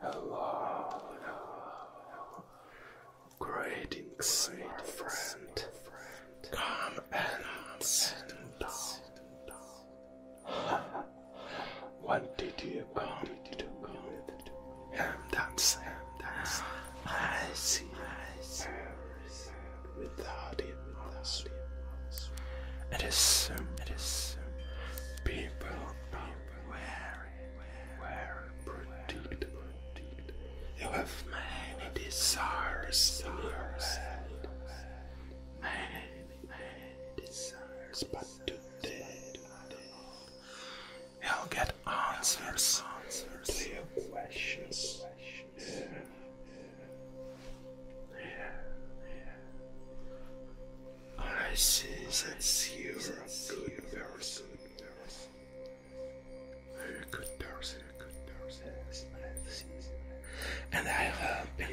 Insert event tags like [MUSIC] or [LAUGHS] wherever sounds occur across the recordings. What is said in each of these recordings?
Hello, hello, greetings, my friend. Come and sit down. When did you come? And that's that's I see without it. It is, um, it is um, you have many desires in Many, desires, but today you'll get answers, answers to your questions. Yeah. I see that you're a good person. good person. A good And I have been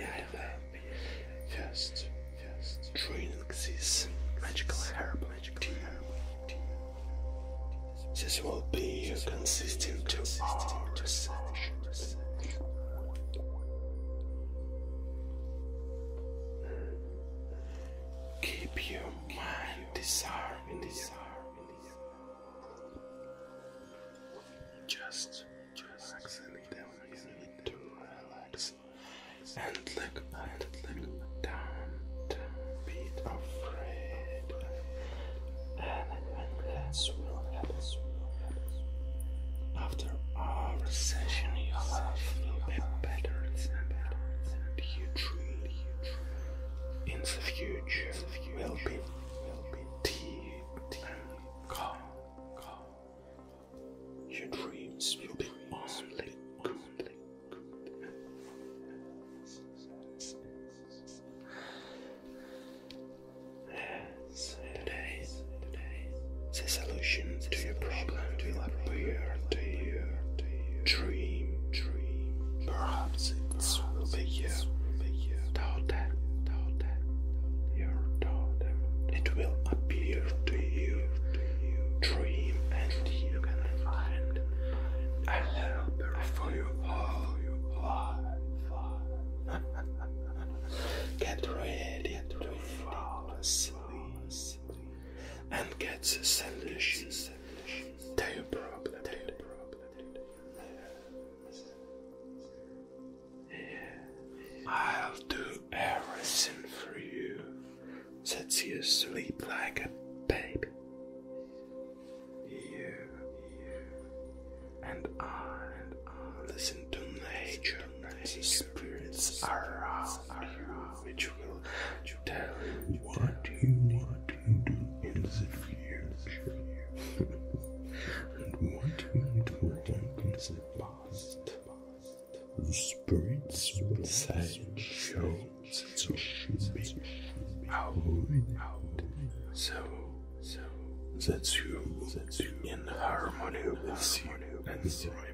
just, just drink this magical herb. This will be consistent to Keep your mind disarming, disarming. Just, just relax and then you need to relax and look and look down. Don't be afraid. And and relax will happen. After our session, your health will be better and in the future will be deep Your dreams will be only good. Yes, today, today, the solution to your problem will appear to you. Dream, dream. Perhaps it will be you. Daughter, your daughter. It will appear to you. Dream, and you can find a helper for your whole life. Get ready to and get the to your problem. I'll do everything for you that you sleep like a baby and I listen to nature. The spirits are around you, which will tell you what you want to do in the future [LAUGHS] and what you need to do in the past. The spirits will say, "Show, so should be, avoid, so." So that's you, that's you in harmony with you and rhyme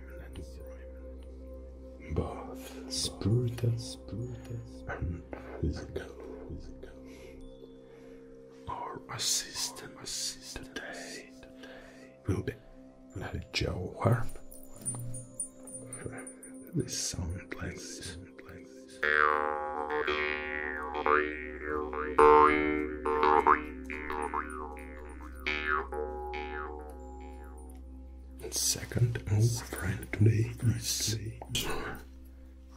both spiritual, spiritual and physical, physical. Our assistant, assistant today will be Joe Harp. This sound like this. Second oh, friend today is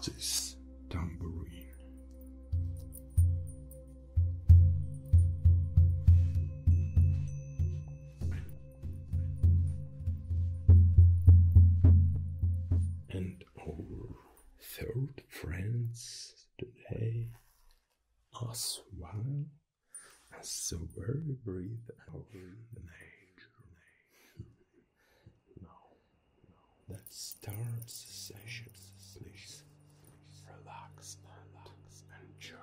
this tambourine. And our third friends today as well as the very breathe out nature. Now, that starts sessions. relax and enjoy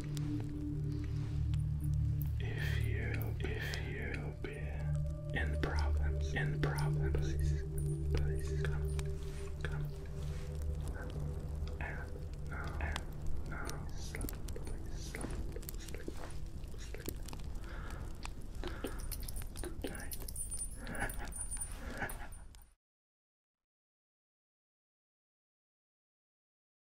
If you, if you've in problems, in problems, please, please come, come. And now, now, sleep, sleep, sleep, sleep. Good night. [LAUGHS]